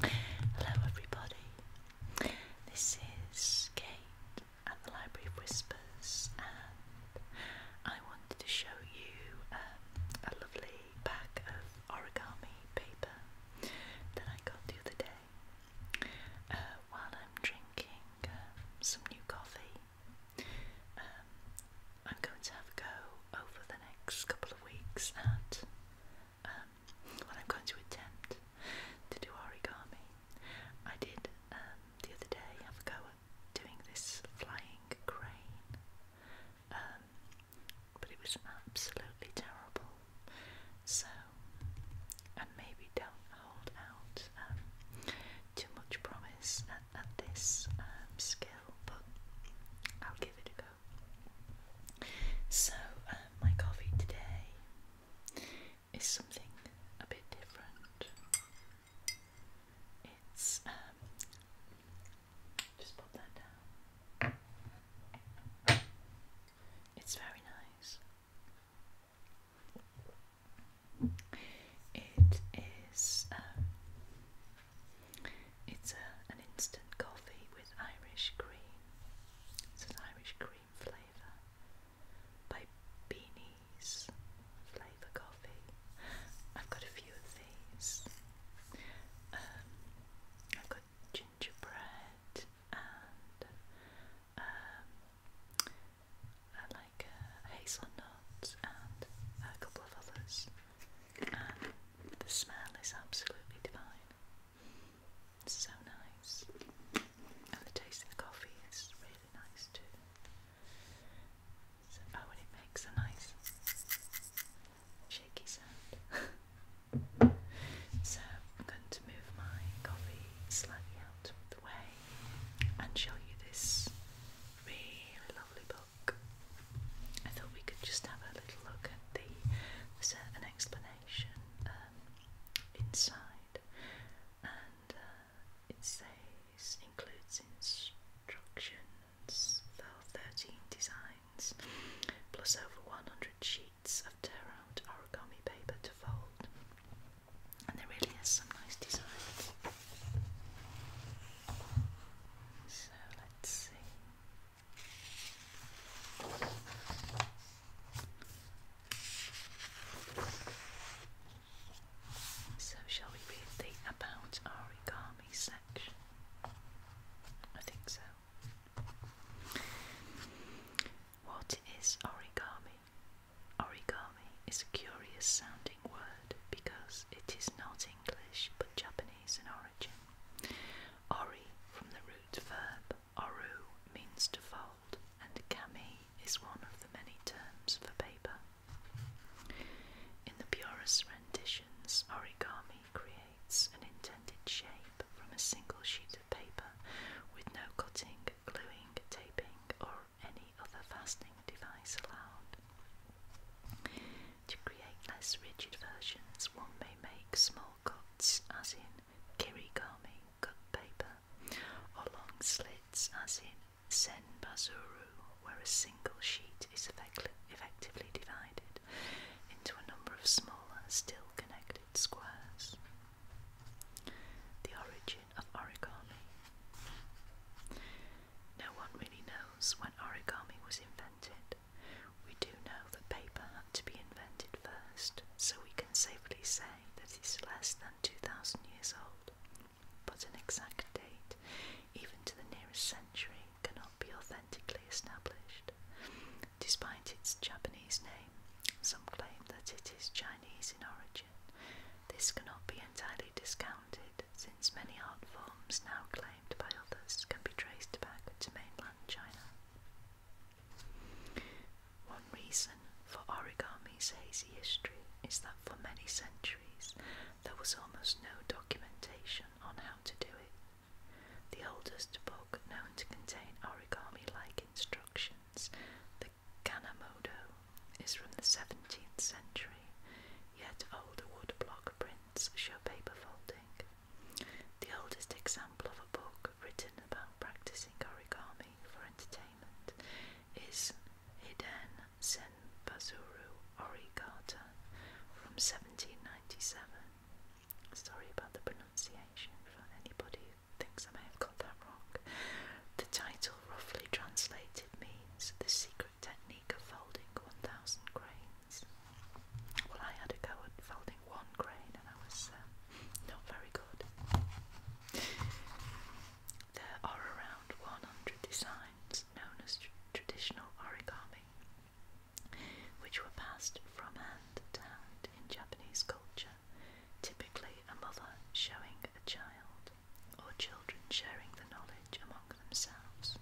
Hello, everybody. This is Kate at the Library of Whispers, and I wanted to show you um, a lovely pack of origami paper that I got the other day uh, while I'm drinking um, some new coffee. Um, I'm going to have a go over the next couple of weeks at um, when I'm going to attempt to do origami. I did um, the other day have a go at doing this flying crane, um, but it was absolutely terrible. So, and maybe don't hold out too much promise at, at this skill, but I'll give it a go. So, uh, my coffee today is something a bit different. It's, um, just pop that down. It's very nice. It is um, it's a, an instant coffee with Irish cream. It's an Irish cream flavour by Beanie's Flavour Coffee. I've got a few of these. Um, I've got gingerbread and I um, uh, like uh, hazelnuts and a couple of others. The smell is absolutely divine. It's so nice. And the taste of the coffee is really nice too. oh, and it makes a nice shaky sound. so, I'm going to move my coffee slightly out of the way and show you this really lovely bowl. I thought we could just have a little look at the. There's a, explanation um, inside, and uh, it says includes instructions for 13 designs, plus over 100 sheets of tear-out origami paper to fold. And there really is some nice designs. So so, shall we read the about origami section? I think so. What is origami? Origami is a curious sounding word because it is not English but Japanese in origin. Ori from the root verb oru means to fold, and kami is one of the many terms for paper. In the purest renditions, origami creates an intended shape from a single sheet of paper with no cutting, gluing, taping, or any other fastening device allowed. To create less rigid versions, one may make small cuts, as in kirigami cut paper, or long slits, as in senbazuru, where a single sheet is effectively divided into a number of smaller, still connected squares. The origin of origami. No one really knows when origami was invented. We do know that paper had to be invented first, so we can safely say that it's less than 2,000 years old. But an exact date, even to the nearest century, cannot be authentically established. Despite its Japanese name, some claim that it is Chinese in origin. This cannot be entirely discounted, since many art forms now claimed by others can be traced back to mainland China. One reason for origami's hazy history is that for many centuries there was almost no documentation on how to do it. The oldest book known to contain origami like instructions, the Kanamodo, is from the 17th century, yet older woodblock prints show paper folding. The oldest example of a book written about practicing origami for entertainment is Hiden Senpazuru Origata from 1797. Sorry about the pronunciation for anybody thinks I may have got that wrong. The title, roughly translated, means The Secret Technique of folding 1,000 grains. Well, I had a go at folding one grain and I was um, not very good. There are around 100 designs known as traditional origami, which were passed from hand to hand in Japanese culture, typically a mother showing a child or children sharing the knowledge among themselves.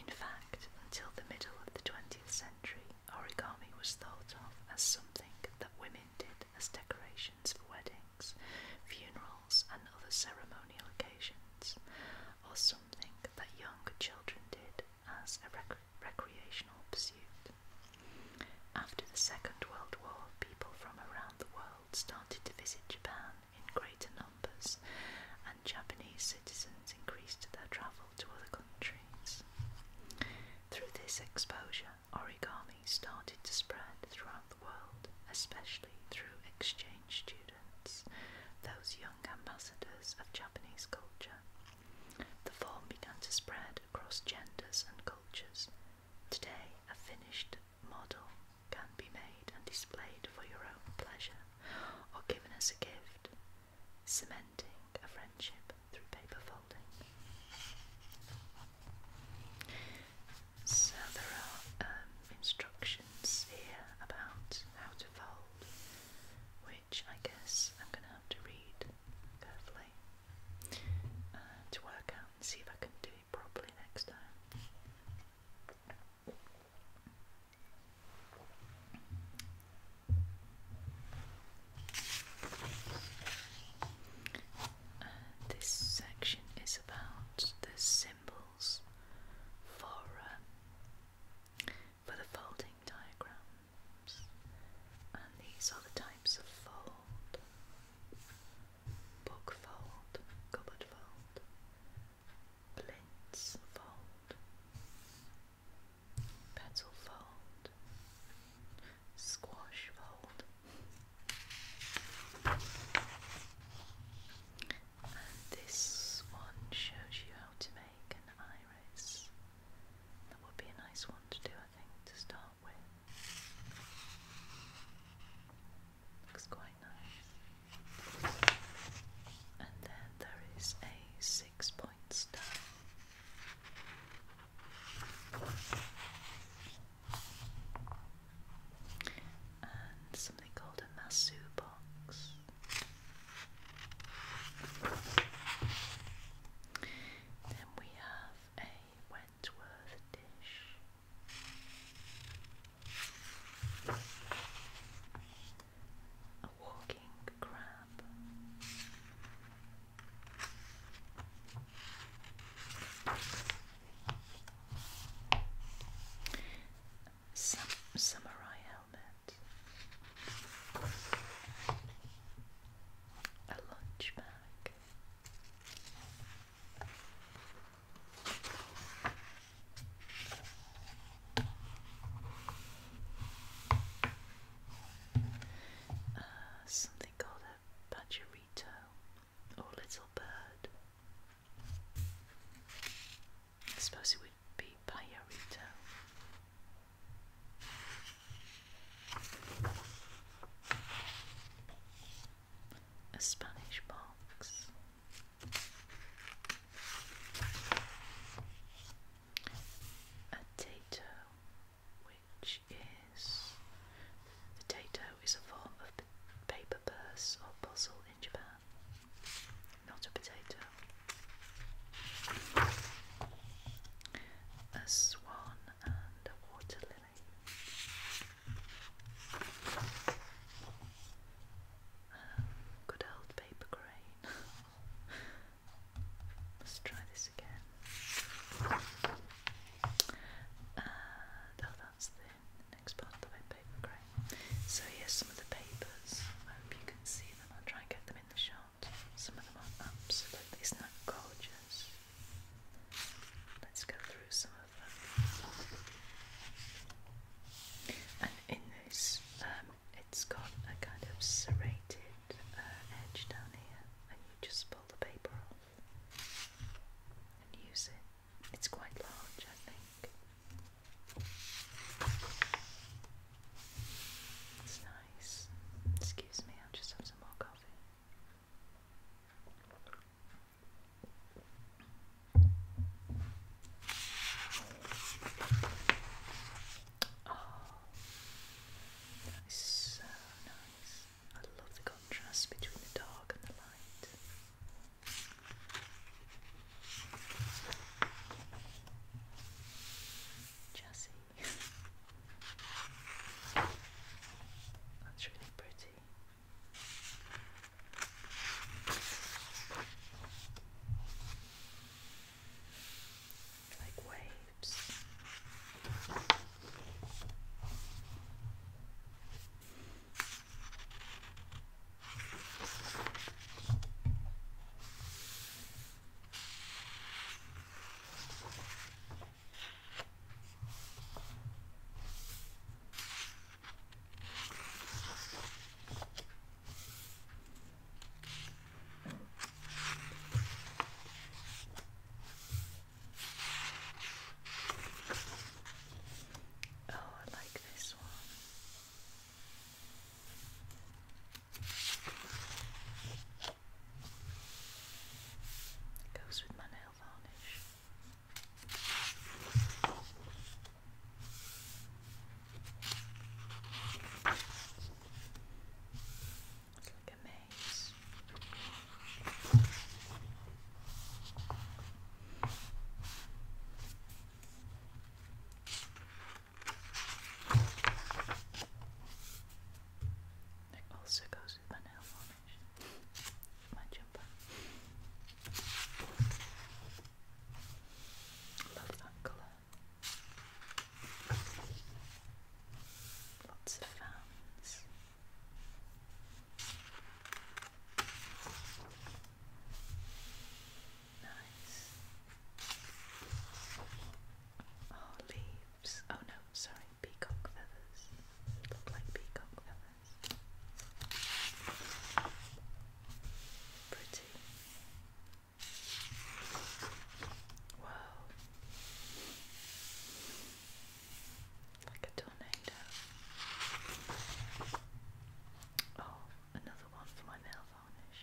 In fact, until the middle of the 20th century, origami was thought of as something that women did as decorations for weddings, funerals, and other ceremonial occasions, or something that younger children did as a recreational pursuit. After the Second World War, people from around the world started to visit Japan in greater numbers, and Japanese citizens increased their travel to other countries. Through this exposure, origami started to spread throughout the world, especially through exchange students, those young ambassadors of Japanese culture. The form began to spread across genders and cultures. Today, a finished model can be made and displayed for your own pleasure or given as a gift, cementing a friendship through paper folding. So there are um, instructions here about how to fold, which I guess I'm going to have to read carefully uh, to work out and see if I can do it next time. this section is about the symbols for um, for the folding diagrams, and these are the types of fold book fold, cupboard fold, blitz fold, petal fold, squash fold, and this one shows you how to make an iris. That would be a nice one to do, I think, to start out Looks quite nice. And then there is a six point star. And something called a Masu box. Then we have a Wentworth dish. A walking crab. Some samurai helmet. A lunch bag. Uh, something called a pajarito or little bird. I suppose it would be pajarito a Spanish box, a tato, which is the is a form of paper purse or puzzle in Japan, not a potato. A swan and a water um, good old paper crane. Let's try this again. Uh, oh, that's the next part the web paper crane. So here's some of the papers. I hope you can see them. I'll try and get them in the shot. Some of them are absolutely, gorgeous? Let's go through some of them. And in this, um, it's got a kind of serrated uh, edge down here, and you just pull the paper off and use it. It's quite large, I think. It's nice. Excuse me, I'll just have some more coffee. Oh, so nice. I love the contrast between the dark and the light. Jazzy. That's really pretty. Like waves. Oh, I like this one. It goes with my nail varnish. It's like it also goes with my nail varnish. my jumper. Love that colour. Lots of fans. Nice. Oh, leaves. Oh no, sorry, peacock feathers. Look like peacock feathers. Pretty. Wow. Like a tornado. Oh, another one for my nail varnish.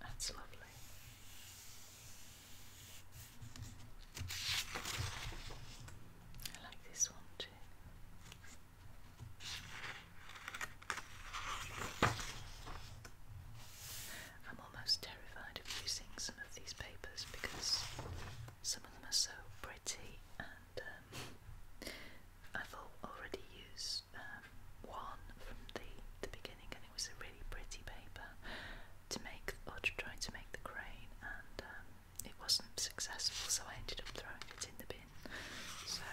That's lovely. I like this one too. I'm almost terrified of using some of these papers because some of them are so pretty, and um, I've already used um, one from the the beginning, and it was a really pretty paper to make or to make the crane, and um, it wasn't successful, so I ended up throwing it in the bin. So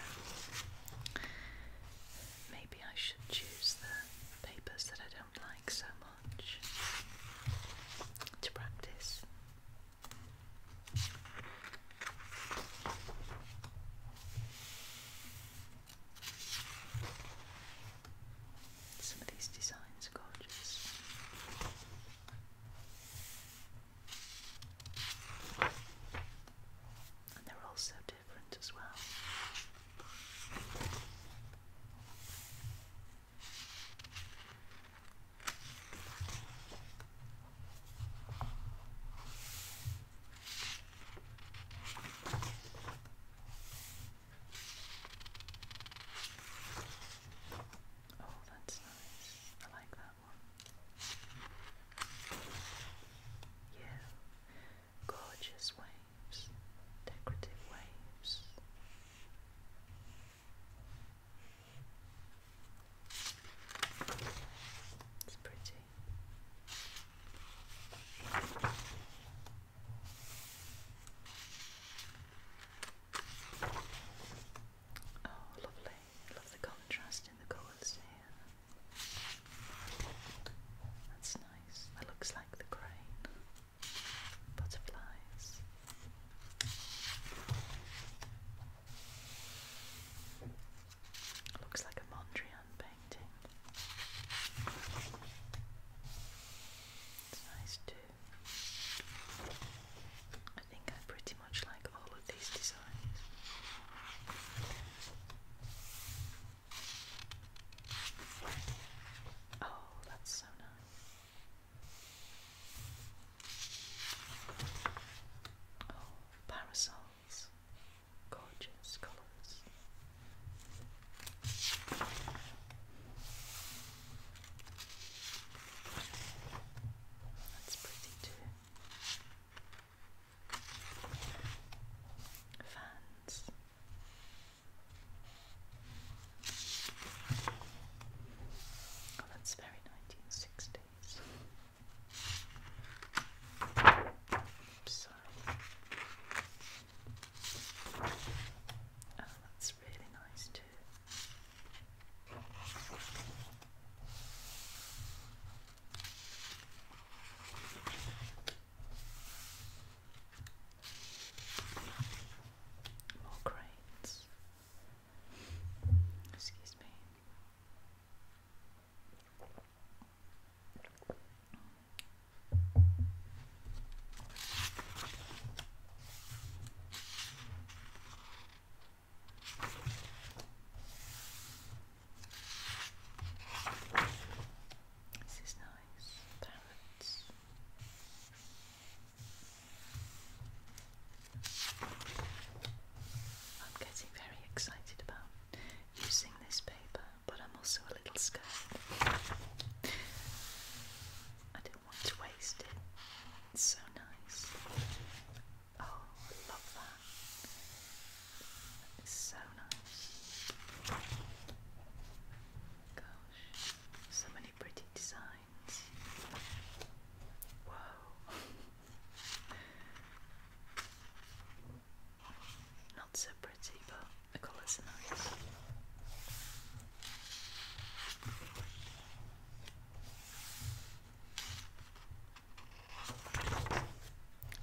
maybe I should choose the papers that I don't like so much to practice. Some of these designs are gorgeous. And they're all so different as well. Oh, that's nice. I like that one. Yeah, gorgeous waves, decorative waves. It's pretty. Oh, lovely. love the contrast in the colours here. That's nice. That looks like the crane butterflies. Looks like a Mondrian painting. It's nice too. I think I pretty much like all of these designs. Oh, that's so nice. Oh, parasols. Gorgeous colours. That's pretty too. Fans. Oh, that's very 1960s. Oops, sorry. Oh, that's really nice too. More cranes. Excuse me. This is nice. Parrots. I'm getting very excited about using this paper, but I'm also a little scared. I don't want to waste it. It's so nice. Oh, I love that. It's so nice. Go so many pretty designs. Wow. Not so pretty, but the colours are nice.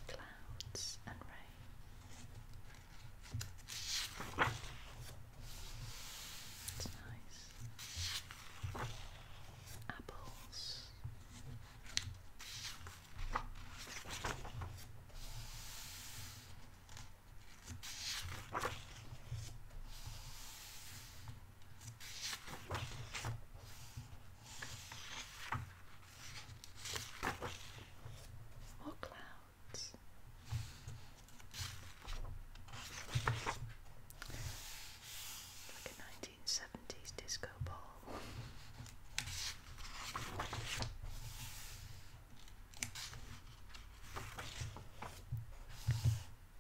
Clouds and rain. It's nice. Apples. More clouds. Like a nineteen seventies disco ball.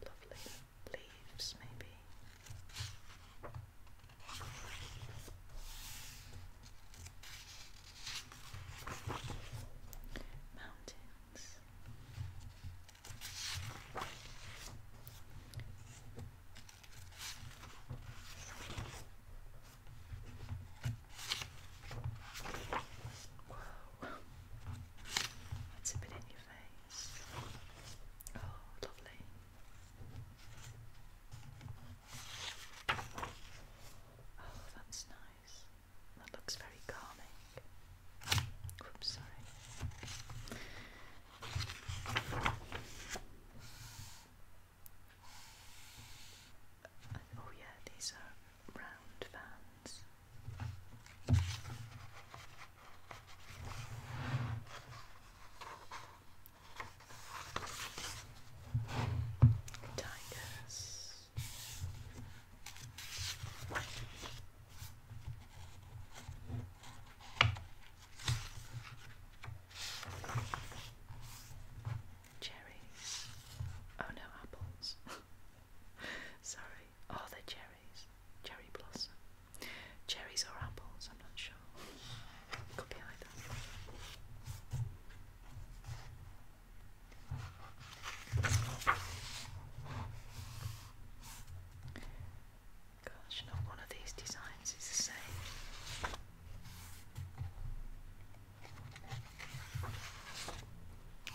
Lovely leaves, maybe. Mountains. Whoa. That's a in your face. Oh, lovely. Oh, that's nice. That looks very calming. Oops, sorry. Oh, yeah, these are round fans. Tigers. Cherries. Oh no, apples. Sorry. oh, they cherries? Cherry blossom. Cherries or apples, I'm not sure. Could be either. Gosh, not one of these designs is the same.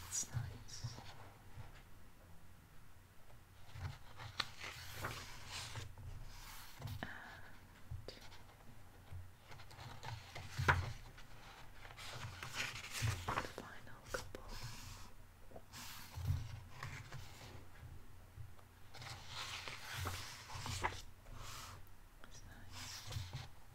It's nice. Final couple. That's nice. Oh,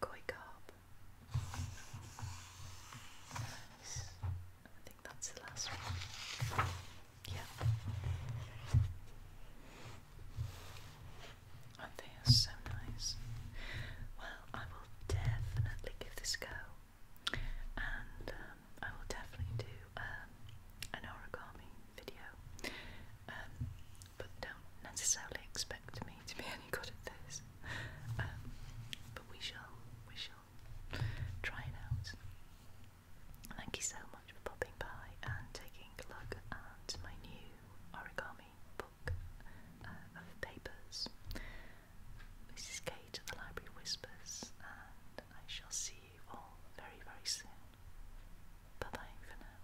koi carp. I think that's the last one. Yeah. And they are so nice. Well, I will definitely give this a go, and um, I will definitely do um, an origami video. Um, but don't necessarily expect me to be any good at this. Um, but we shall, we shall try it Thank you so much for popping by and taking a look at my new origami book uh, of papers. This is Kate of the Library Whispers, and I shall see you all very, very soon. Bye bye for now.